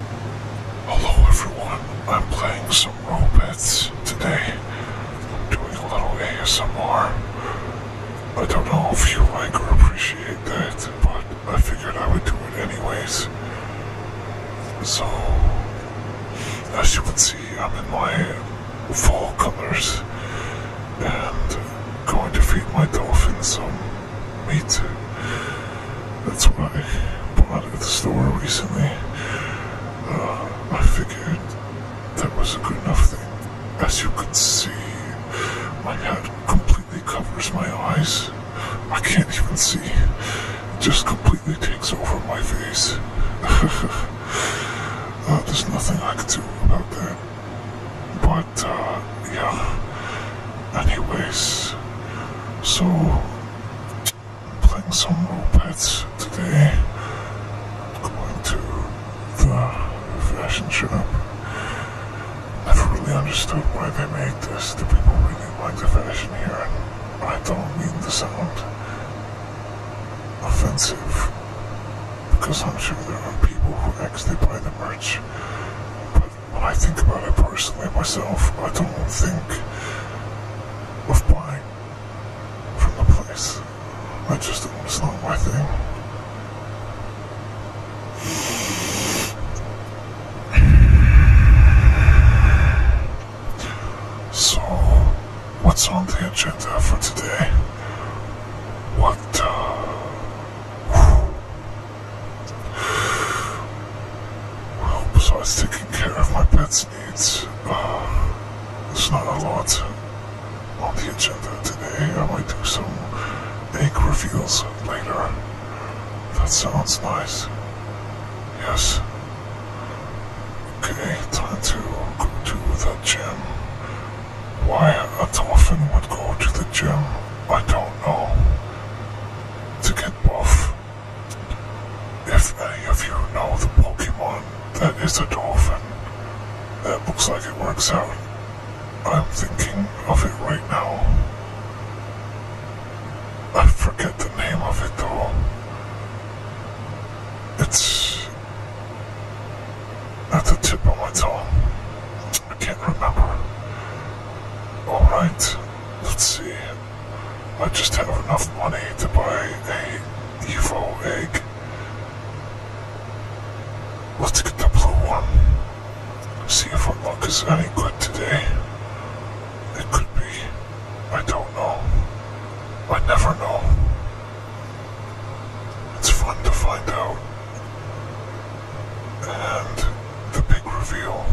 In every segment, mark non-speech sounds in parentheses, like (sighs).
Hello everyone, I'm playing some Robits today. I'm doing a little ASMR. I don't know if you like or appreciate that, but I figured I would do it anyways. So, as you can see, I'm in my fall colors and going to feed my dolphins some me too. That's what I bought at the store recently. Uh, I figured that was a good enough thing. As you can see, my hat completely covers my eyes. I can't even see. It just completely takes over my face. (laughs) Uh, there's nothing I can do about that. But, uh, yeah. Anyways, so playing some mopeds today. Going to the fashion shop. Never really understood why they make this. The people really like the fashion here? I don't mean the sound offensive, because I'm sure there are people who actually buy the merch, but when I think about it personally myself, I don't think of buying from the place. I just don't, it's not my thing. So, what's on the agenda for today? What, uh, well, besides taking care of my pet's needs, it's uh, not a lot on the agenda today. I might do some egg reveals later. That sounds nice. Yes. Okay, time to go to the gym. Why a dolphin would go to the gym, I don't know. To get buff. If any of you know the Pokemon that is a dolphin, that looks like it works out. I'm thinking of it right now. I forget the name of it though. It's at the tip of my tongue. I can't remember. Alright. Let's see. I just have enough money to buy a Evo egg. Let's get the blue one. See if our luck is any good today. It could be. I don't know. I never know. It's fun to find out. And the big reveal.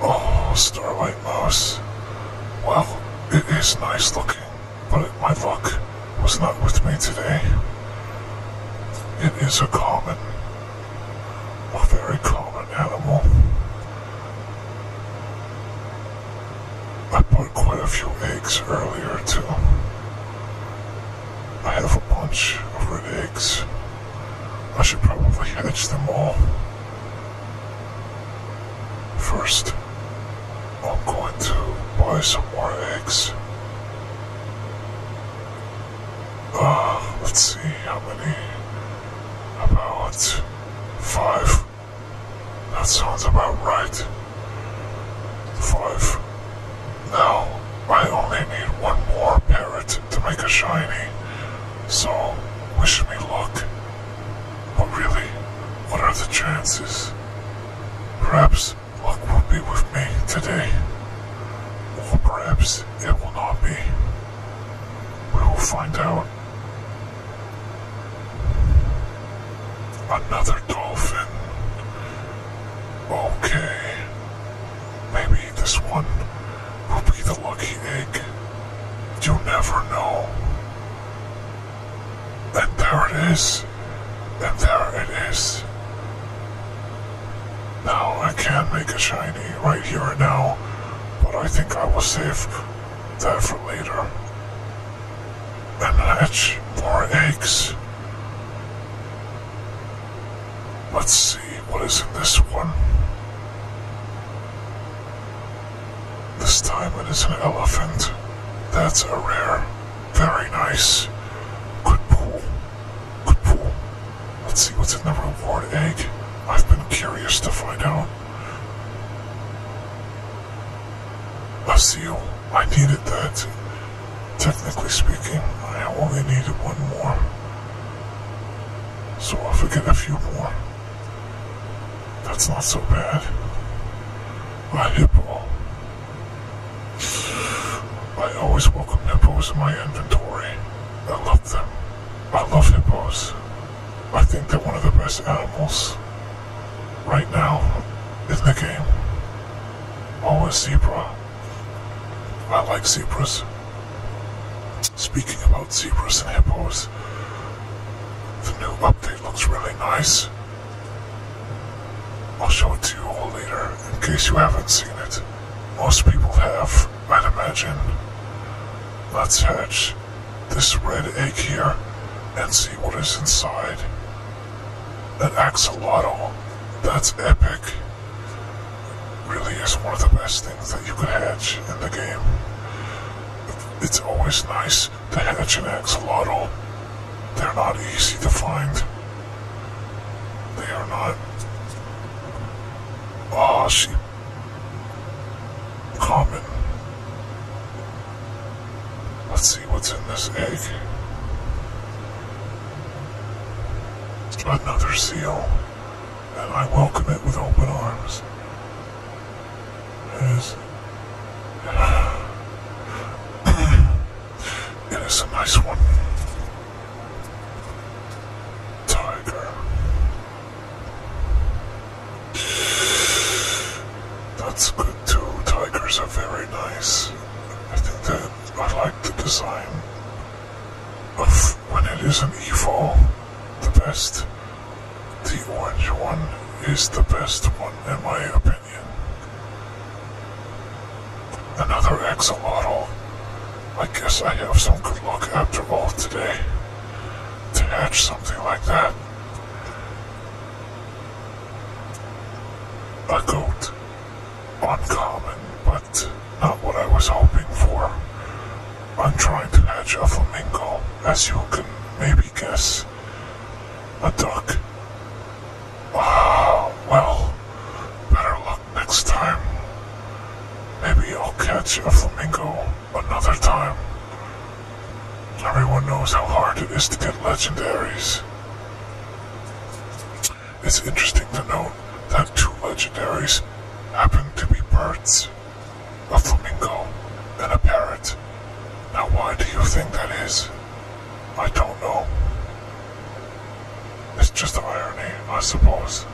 Oh, Starlight Mouse. Well, it is nice looking, but my luck was not with me today. It is a common, a very common animal. I put quite a few eggs earlier too. I have a bunch of red eggs. I should probably hatch them all. First, I'm going to buy some more eggs. Uh, let's see how many. About five. That sounds about right. Five now, I only need one more parrot to make a shiny, so wish me luck. But really, what are the chances? Perhaps luck will be with me today, or perhaps it will not be. We will find out. Another dolphin. Okay. Maybe this one will be the lucky egg. You never know. And there it is. And there it is. Now, I can make a shiny right here and now, but I think I will save that for later. And hatch more eggs. Let's see, what is in this one? This diamond is an elephant. That's a rare. Very nice. Good pool. Good pool. Let's see what's in the reward egg. I've been curious to find out. A seal. I needed that. Technically speaking, I only needed one more. So I'll forget a few more, that's not so bad. A hippo. I always welcome hippos in my inventory. I love them. I love hippos. I think they're one of the best animals right now in the game. Oh, a zebra. I like zebras. Speaking about zebras and hippos, the new update looks really nice. I'll show it to you all later in case you haven't seen it. Most people have, i imagine. Let's hatch this red egg here and see what is inside. An axolotl. That's epic really is one of the best things that you could hatch in the game. It's always nice to hatch an egg, axolotl. They're not easy to find. They are not. Ah, oh, she. Common. Let's see what's in this egg. Another seal, and I welcome it with open arms. It is. (sighs) it is a nice one. Tiger. That's good too. Tigers are very nice. I think that I like the design of when it isn't evil, the best. The orange one is the best one, in my opinion. Another axolotl. I guess I have some good luck after all today to hatch something like that. A goat uncommon, but not what I was hoping for. I'm trying to catch a flamingo, as you can maybe guess. A duck. Ah, well, better luck next time. Maybe I'll catch a flamingo another time. Everyone knows how hard it is to get legendaries it's interesting to note that two legendaries happen to be birds, a flamingo and a parrot. Now why do you think that is? I don't know. It's just an irony, I suppose.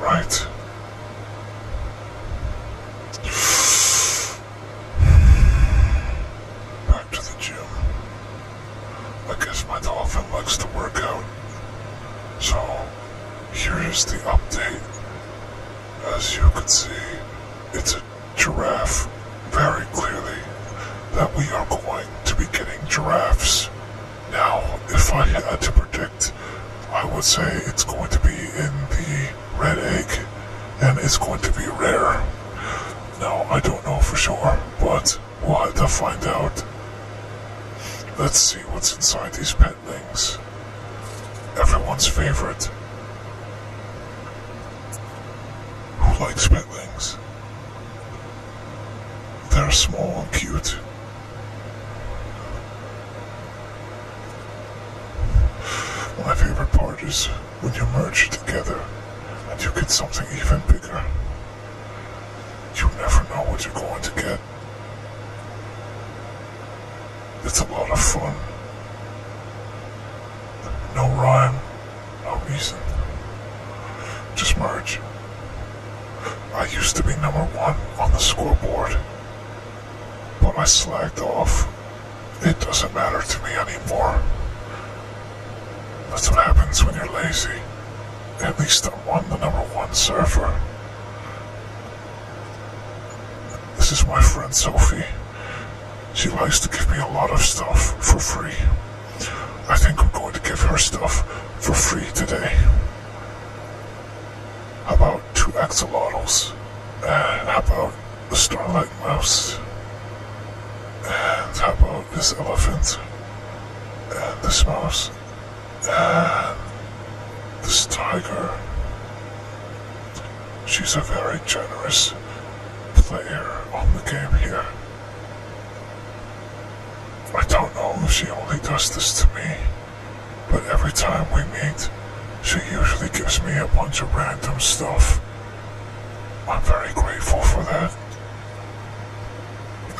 Right. Back to the gym. I guess my dolphin likes to work out. So, here is the update. As you can see, it's a giraffe very clearly that we are going to be getting giraffes. Now, if I had to predict I would say it's going to be in the red egg, and it's going to be rare. Now, I don't know for sure, but we'll have to find out. Let's see what's inside these petlings. Everyone's favorite. Who likes petlings? They're small and cute. My favorite part is when you merge together and you get something even bigger. You never know what you're going to get. It's a lot of fun. No rhyme, no reason. Just merge. I used to be number one on the scoreboard. But I slacked off. It doesn't matter to me anymore. That's what happens when you're lazy. At least I'm one, the number one surfer. This is my friend Sophie. She likes to give me a lot of stuff for free. I think I'm going to give her stuff for free today. about about two axolotls? And how about a starlight mouse? And how about this elephant? And this mouse? And this tiger? She's a very generous player on the game here. I don't know if she only does this to me. But every time we meet, she usually gives me a bunch of random stuff. I'm very grateful for that.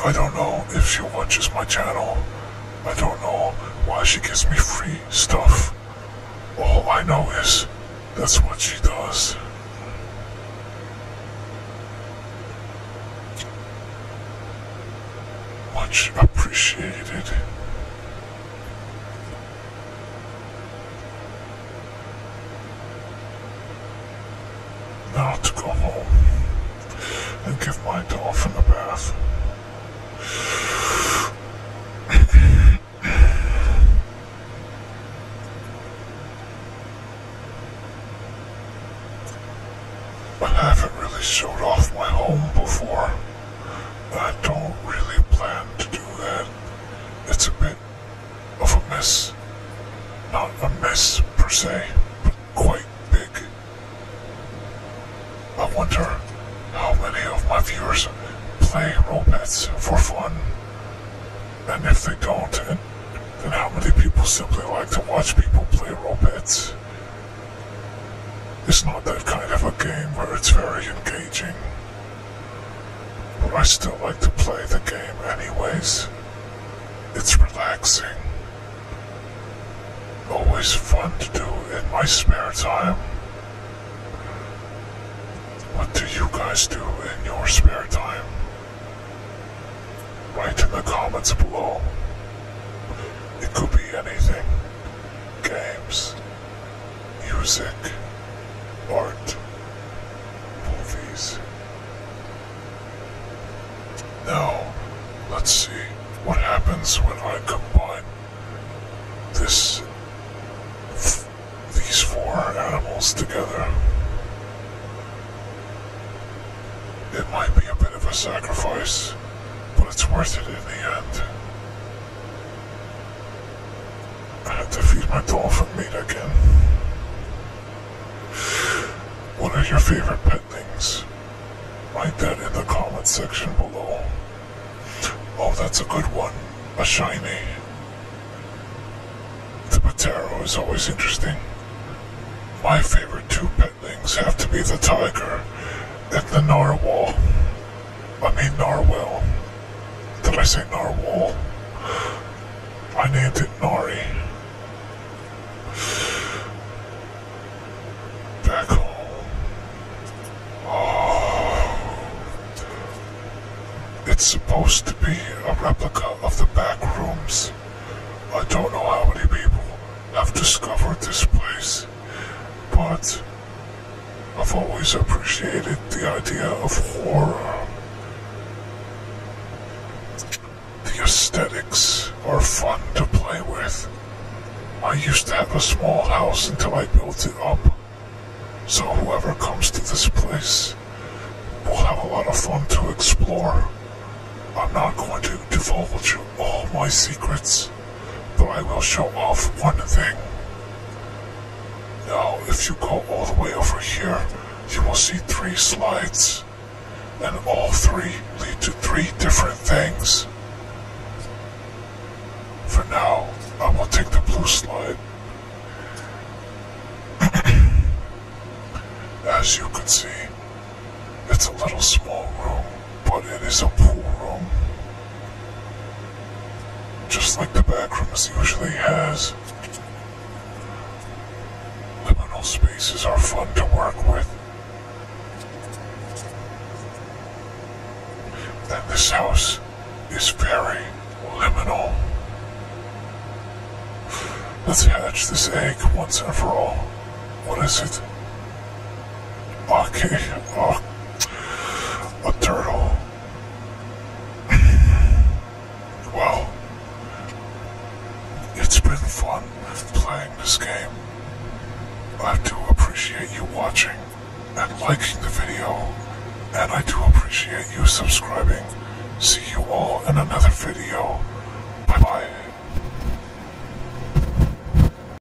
I don't know if she watches my channel. I don't know why she gives me free stuff. All I know is that's what she does. Much appreciated. Now to go home and give my dolphin a bath. I haven't really showed off my home before. I don't really plan to do that. It's a bit of a mess. Not a mess per se, but quite big. I wonder how many of my viewers play Robets for fun. And if they don't, then how many people simply like to watch people play Robets? It's not that kind of a game where it's very engaging. But I still like to play the game anyways. It's relaxing. Always fun to do in my spare time. What do you guys do in your spare time? Write in the comments below. It could be anything. Games music, art, movies. Now, let's see what happens when I combine this these four animals together. It might be a bit of a sacrifice, but it's worth it in the end. I have to feed my dolphin meat again. What are your favorite pet things? Write that in the comment section below. Oh, that's a good one. A shiny. The Patero is always interesting. My favorite two pet things have to be the tiger and the narwhal. I mean narwhal. Did I say narwhal? I named it Nari. Back home. It's supposed to be a replica of the back rooms. I don't know how many people have discovered this place but I've always appreciated the idea of horror. The aesthetics are fun to play with. I used to have a small house until I built it up. So whoever comes to this place will have a lot of fun to explore. I'm not going to divulge all my secrets. But I will show off one thing. Now, if you go all the way over here, you will see three slides. And all three lead to three different things. For now, I will take the blue slide. (coughs) As you can see, it's a little small room but it is a pool room. Just like the back rooms usually has. Liminal spaces are fun to work with. And this house is very liminal. Let's hatch this egg once and for all. What is it? Okay. A turtle. (laughs) well, it's been fun playing this game. I do appreciate you watching and liking the video, and I do appreciate you subscribing. See you all in another video. Bye-bye.